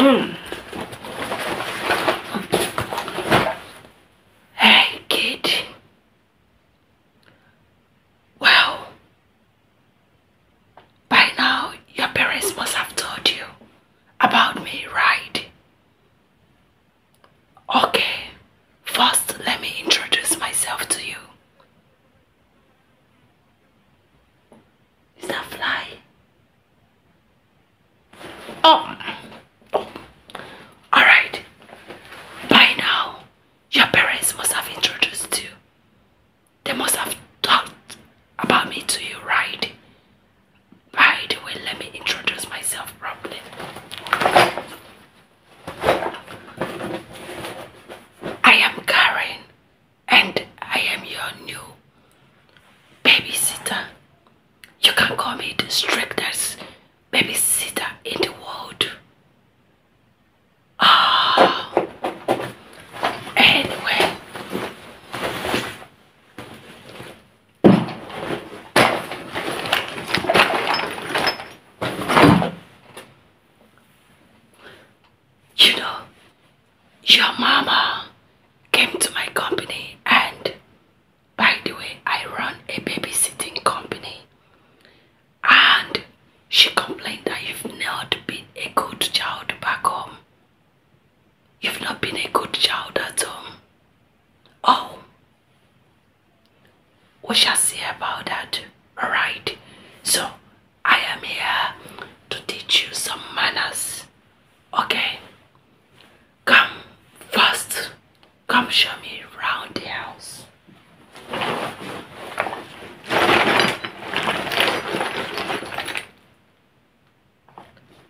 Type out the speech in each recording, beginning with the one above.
Mm. Hey, kid. Well, by now your parents must have told you about me, right? Okay, first let me introduce myself to you. Is that fly? Oh. oh. All right. By now, your parents must have introduced you. They must have talked about me to you, right? By the way, let me introduce myself properly. I am Karen and I am your new babysitter. You can call me the strictest babysitter in the world. Oh. Anyway. You know, your mama came to my company and by the way, I run a babysitting company and she complained that you've not been a good child back home. You've not been a good child at home. Oh, we shall see about that alright so i am here to teach you some manners okay come first come show me around the house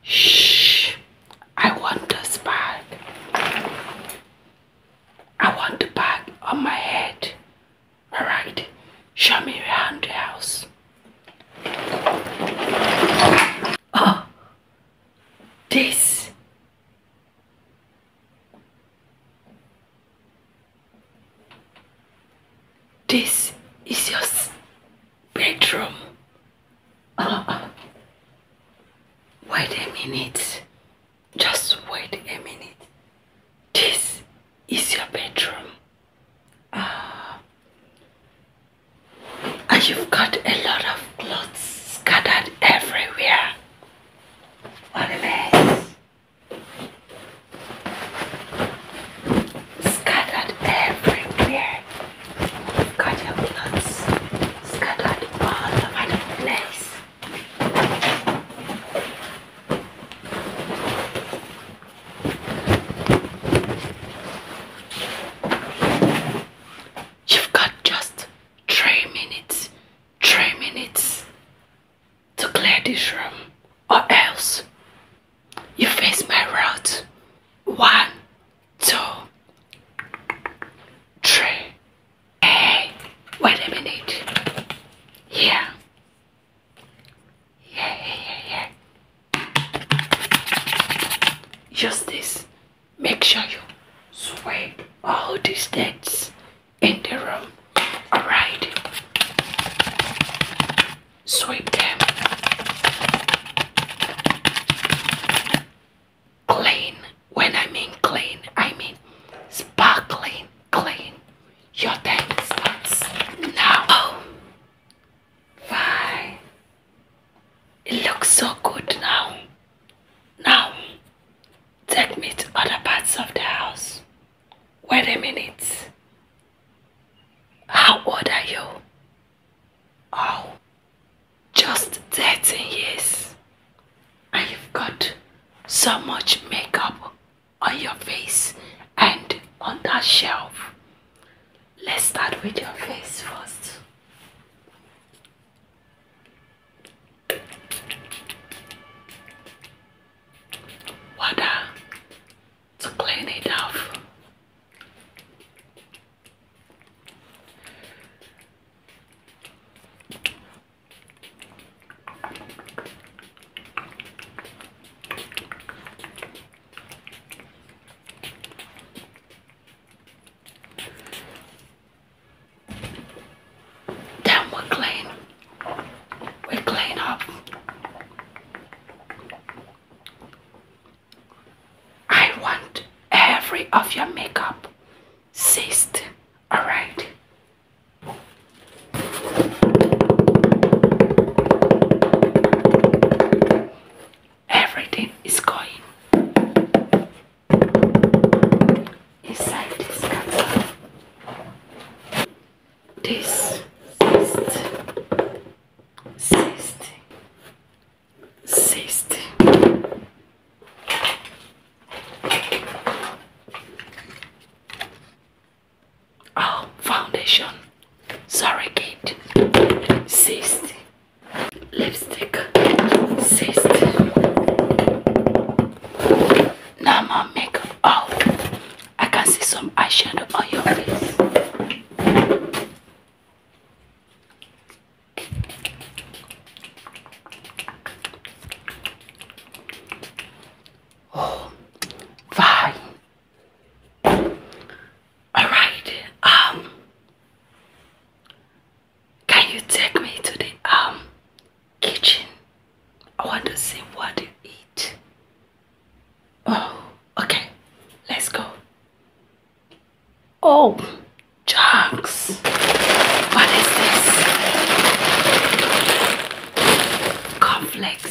Shh, I want this bag. I want the bag on my head. Alright, show me around the house. Oh, this. This is your bedroom. Oh, wait a minute. Just wait a minute. This is your bedroom. Ah. and you've got a lot of clothes scattered everywhere. What a mess. Scattered everywhere. You've got your clothes scattered all over the place. You've got just three minutes, three minutes to clear this room, or else you face my wrath. One, two, three. Hey, wait a minute. Yeah. Yeah, yeah, yeah, yeah. Just this. Make sure you swipe all these dates in the room. Alright. Sweep them. Clean. When I mean clean, I mean sparkling clean your tablespoons now. fine. Oh. It looks so good now. Now, take me to other parts of the house. Wait a minute. How old are you? Oh, just 13 years. I have got so much makeup on your face and on that shelf. Let's start with your face first. Water to clean it off. Then we clean, we clean up. I want every of your makeup seized. Alright, Everything is going inside this cup. This cyst, cyst, cyst. Oh, foundation. surrogate, Kate. 60. Lipstick. 60. Now my makeup. Oh, I can see some eyeshadow on your face. Oh, All right. Um, can you take me to the um kitchen? I want to see what you eat. Oh, okay. Let's go. Oh, Chunks. What is this? Conflicts.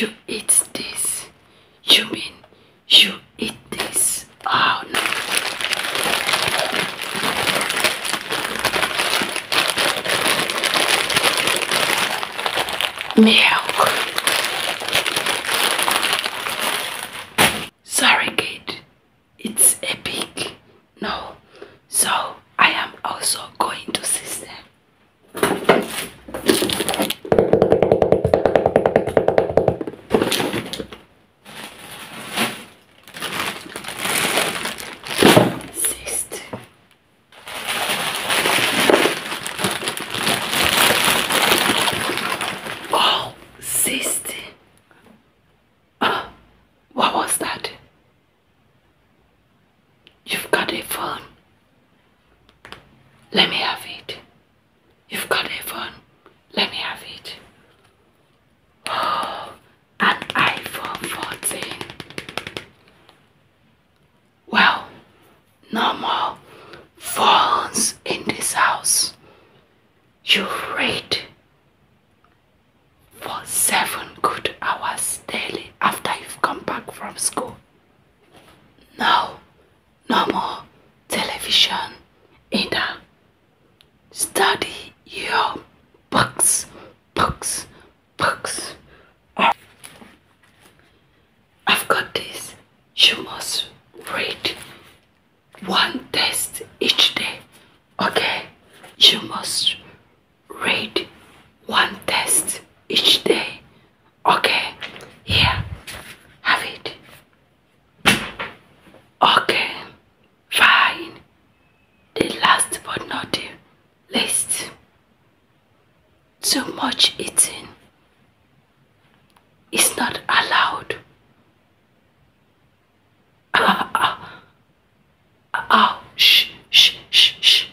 You eat this. You mean you eat this? Oh no. Milk. Sorry, kid. It's epic. No. So I am also going to see them. Sixth. Oh, sixth. Ah, uh, what was that? You've got a phone. Let me have it. You've got a phone. Let me have it. an iPhone 14. Well, no more phones in this house. You read for seven good hours daily after you've come back from school. No, no more television either. Study your books, books, books. I've got this. You must read one test each day. Okay? You must read one test each day. Okay, here, have it. Okay, fine. The last but not the least. Too much eating is not allowed. Oh, shh, shh, shh, shh.